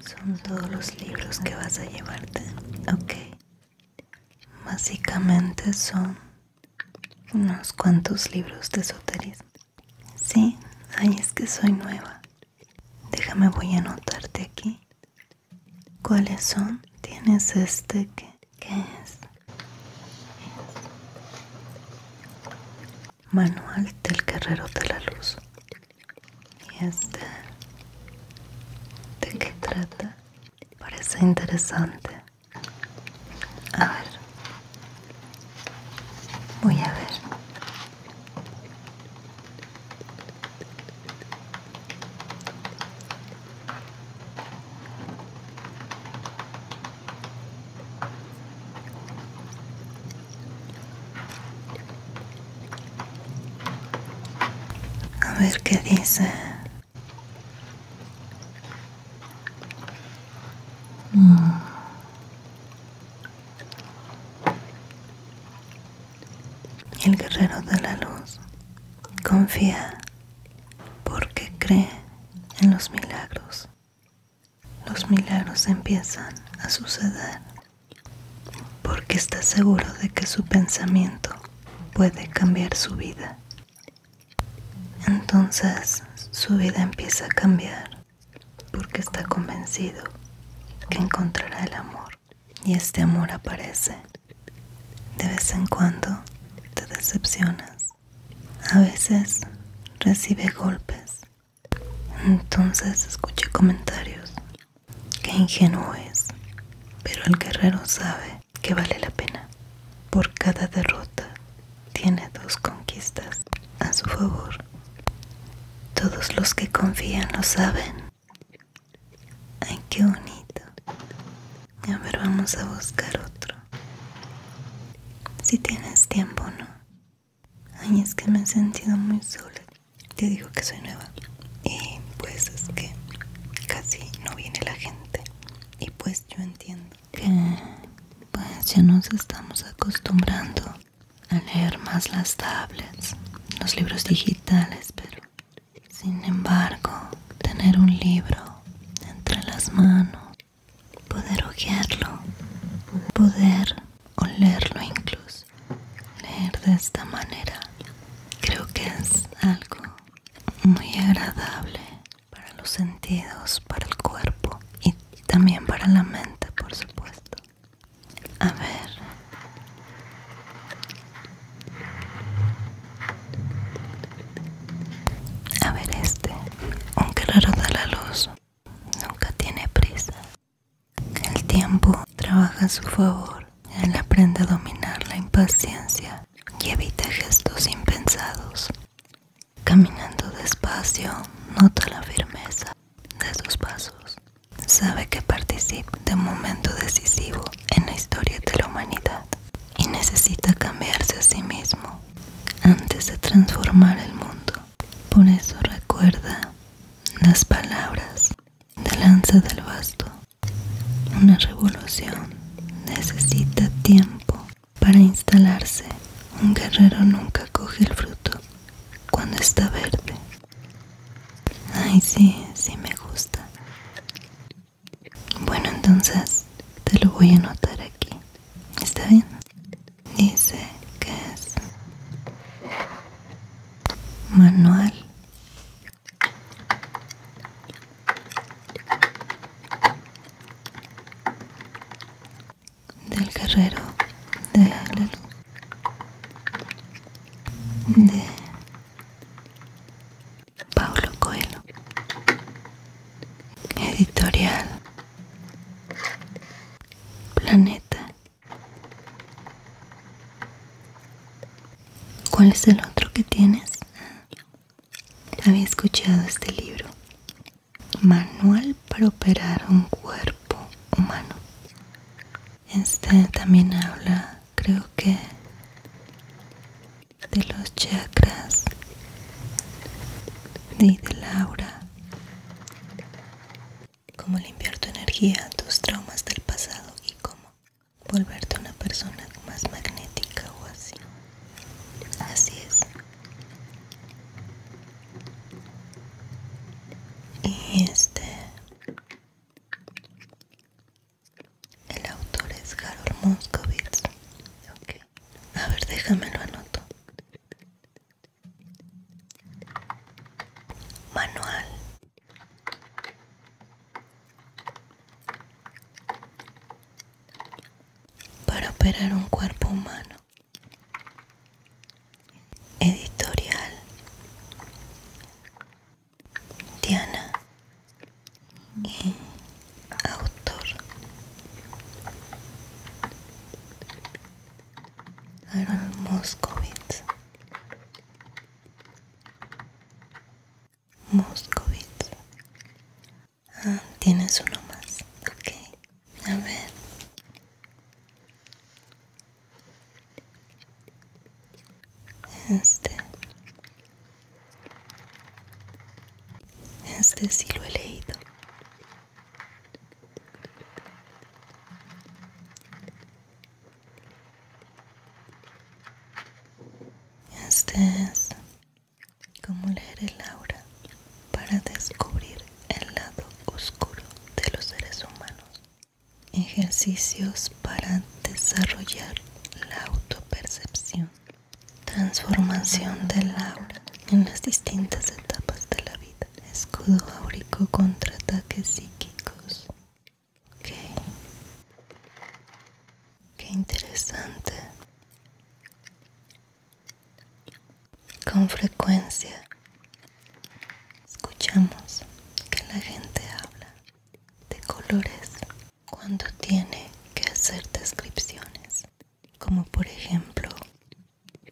Son todos los libros que vas a llevarte, ok. Básicamente son unos cuantos libros de esoterismo. Sí, ay, es que soy nueva. Déjame, voy a anotarte aquí. ¿Cuáles son? Tienes este que, que es Manual del Guerrero de la Luz. ¿Y este? ¿De qué trata? Parece interesante. A ver. Voy a ver. A ver qué dice. Mm. El guerrero de la luz confía porque cree en los milagros. Los milagros empiezan a suceder porque está seguro de que su pensamiento puede cambiar su vida. Entonces su vida empieza a cambiar porque está convencido que encontrará el amor y este amor aparece. De vez en cuando te decepcionas. A veces recibe golpes. Entonces escucha comentarios. que ingenuo es. Pero el guerrero sabe que vale la pena. Por cada derrota tiene dos conquistas a su favor. Todos los que confían lo saben. Ay, qué bonito. A ver, vamos a buscar otro. Si tienes tiempo, ¿no? Ay, es que me he sentido muy sola. Te digo que soy nueva. Y pues es que casi no viene la gente. Y pues yo entiendo que pues ya nos estamos acostumbrando a leer más las tablets, los libros digitales, pero sin embargo, tener un libro entre las manos, poder ojearlo, poder olerlo incluso, leer de esta manera, creo que es algo muy agradable para los sentidos, para el cuerpo y también para la mente, por supuesto. A ver. A ver este. Aunque raro da la luz, nunca tiene prisa. El tiempo trabaja a su favor. Él aprende a dominar la impaciencia y evita gestos impensados. Caminando despacio, nota la firmeza de sus pasos. Sabe que participa de un momento decisivo en la historia de la humanidad y necesita cambiarse a sí mismo antes de transformar el mundo. Por eso recuerda las palabras de Lanza del vasto: Una revolución necesita tiempo para instalarse. Un guerrero nunca coge el fruto cuando está verde. Ay, sí, sí me gusta. Bueno, entonces te lo voy a anotar aquí. ¿Está bien? Dice que es manual del guerrero de la de Paulo Coelho. Editorial Planeta. ¿Cuál es el otro que tienes? Había escuchado este libro. Manual para operar un cuerpo humano este también habla, creo que, de los chakras y de la aura. Cómo limpiar tu energía, tus traumas del pasado y cómo volverte una persona más magnética o así. Así es y este el autor es Harold Moscovitz a ver déjame lo anoto manual para operar un cuerpo humano Editorial Diana y autor Moscovitz. Moscovitz. Ah, tienes uno más, okay. A ver. Este. Este sí lo he leído. Este es como leer el aura para descubrir el lado oscuro de los seres humanos. Ejercicios para desarrollar la autopercepción. Transformación del aura en las distintas etapas de la vida. Escudo áurico contra ataques psíquicos. Ok. Qué interesante. Con frecuencia escuchamos que la gente habla de colores cuando tiene que hacer descripciones, como por ejemplo,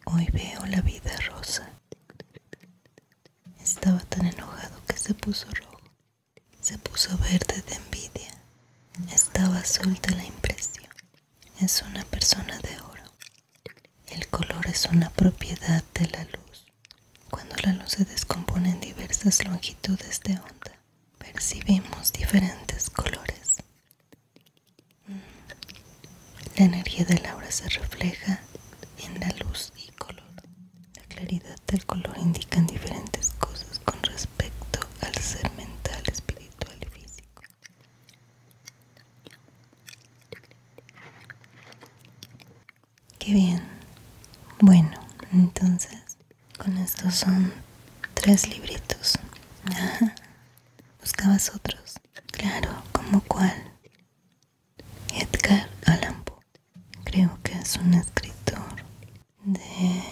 hoy veo la vida rosa. Estaba tan enojado que se puso rojo, se puso verde de envidia, estaba azul de la impresión. Es una persona de oro. El color es una propiedad de la luz. Cuando la luz se descompone en diversas longitudes de onda, percibimos diferentes colores. Mm. La energía del aura se refleja en la luz y color. La claridad del color indica diferentes cosas con respecto al ser mental, espiritual y físico. Qué bien. Bueno, entonces con estos son tres libritos. Buscabas otros. Claro, ¿como cuál? Edgar Allan Poe. Creo que es un escritor de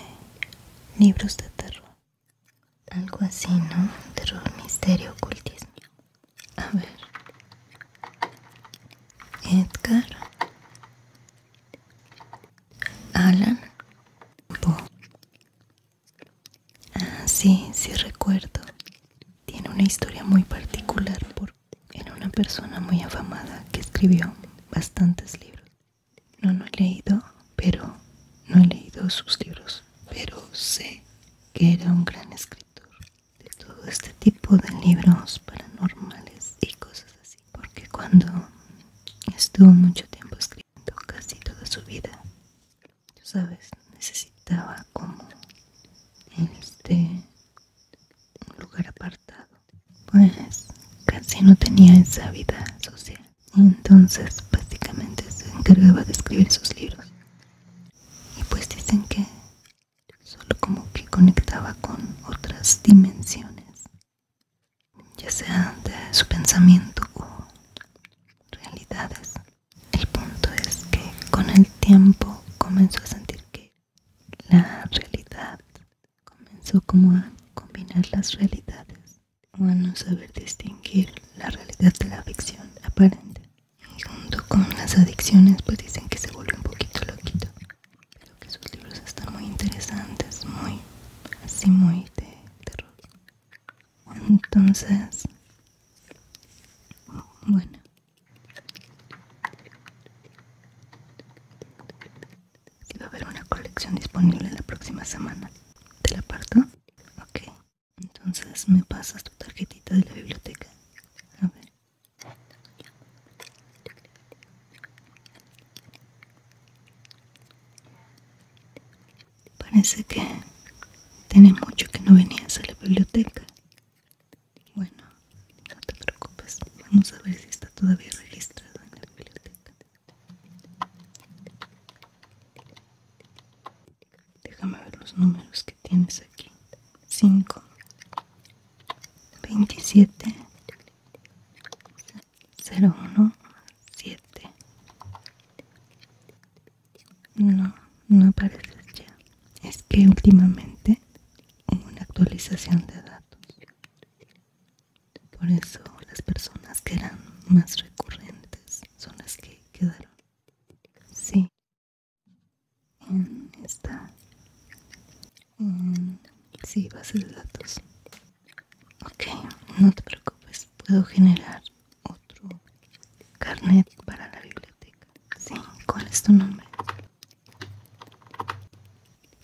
libros de terror. Algo así, ¿no? Terror, misterio, ocultismo. A ver. Edgar. Alan. Bo. Ah, sí, sí recuerdo. Tiene una historia muy particular porque era una persona muy afamada que escribió bastantes libros. No, no he leído, pero no he leído sus libros, pero sé que era un gran escritor de todo este tipo de libros paranormales y cosas así, porque cuando estuvo mucho tiempo escribiendo, casi toda su vida, sabes, necesitaba como este un lugar apartado, pues casi no tenía esa vida social entonces básicamente se encargaba de escribir sus libros. Y pues dicen que solo como que conectaba con otras dimensiones, ya sea de su pensamiento o realidades. El punto es que con el tiempo comenzó a sentir que la realidad comenzó como a combinar las realidades bueno saber distinguir la realidad de la ficción aparente. Junto con las adicciones, pues dicen que se vuelve un poquito loquito. Creo que sus libros están muy interesantes, muy así, muy de terror. Entonces, bueno. Que va a haber una colección disponible la próxima semana. ¿Te la parto? Ok. Entonces me pasas tu tarjetita de la biblioteca. A ver. Parece que tiene mucho que no venías a la biblioteca. Bueno, no te preocupes. Vamos a ver si está todavía registrado en la biblioteca. Déjame ver los números que tienes aquí. 5, 27, 01, 7. No, no aparece ya. Es que últimamente hubo una actualización de datos. Por eso las personas que eran más recurrentes son las que quedaron. Sí. En esta. sí, base de datos. Ok, no te preocupes. Puedo generar otro carnet para la biblioteca. Sí, ¿cuál es tu nombre?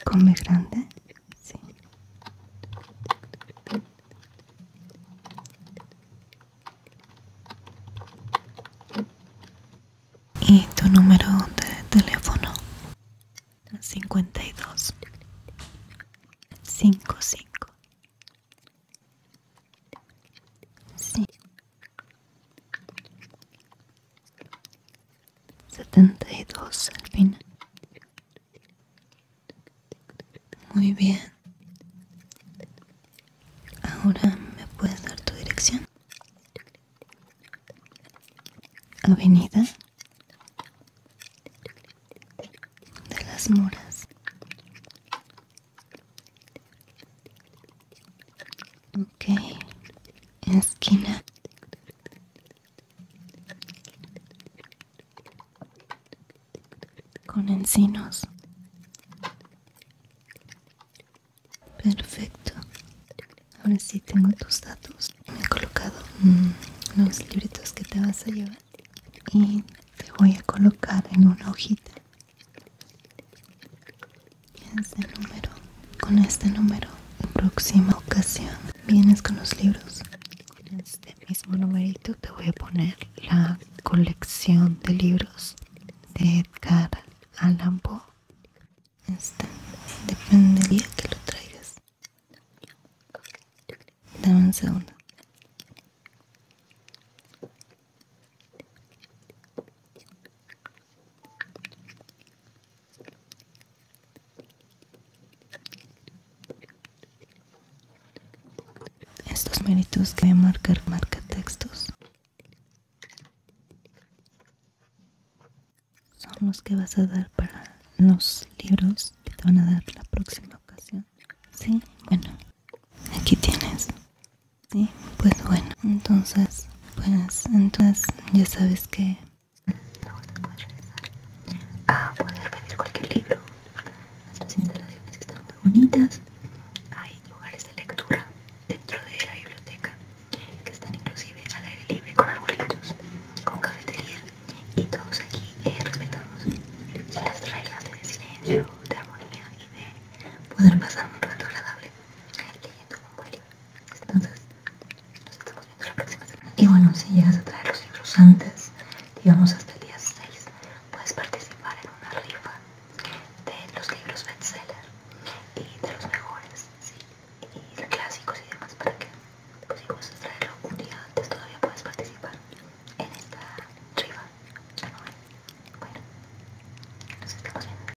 con mi grande, sí. Y tu número de teléfono 52 55 72 al final. Muy bien. Ahora me puedes dar tu dirección. Avenida de las muras okay, Esquina con encinos. Perfecto. Ahora sí tengo tus datos. Me he colocado mm, los libritos que te vas a llevar y te voy a colocar en una hojita. Es el número con este número. próxima ocasión vienes con los libros. con este mismo numerito te voy a poner la colección de libros de Edgar Allan Poe. Este, depende que lo traigas. Dame un segundo. Estos méritos que voy marcar marca textos son los que vas a dar para los libros que te van a dar la próxima ocasión. Sí, bueno, aquí tienes. Sí, pues bueno, entonces, pues entonces ya sabes que a poder pedir cualquier libro. las instalaciones que están muy bonitas. Hay lugares de lectura dentro de la biblioteca que están inclusive al aire libre con arbolitos, con cafetería y todos aquí eh, respetamos las reglas de silencio, de armonía y de poder pasar un rato agradable leyendo un buen entonces, nos estamos viendo la próxima semana. Y bueno, si llegas a traer los libros antes, digamos hasta el día 6, puedes participar en una rifa de los libros bestseller y de los mejores, ¿sí? y clásicos y demás, para que, pues, si a traerlo un día antes, todavía puedes participar en esta rifa. Bueno, nos estamos viendo.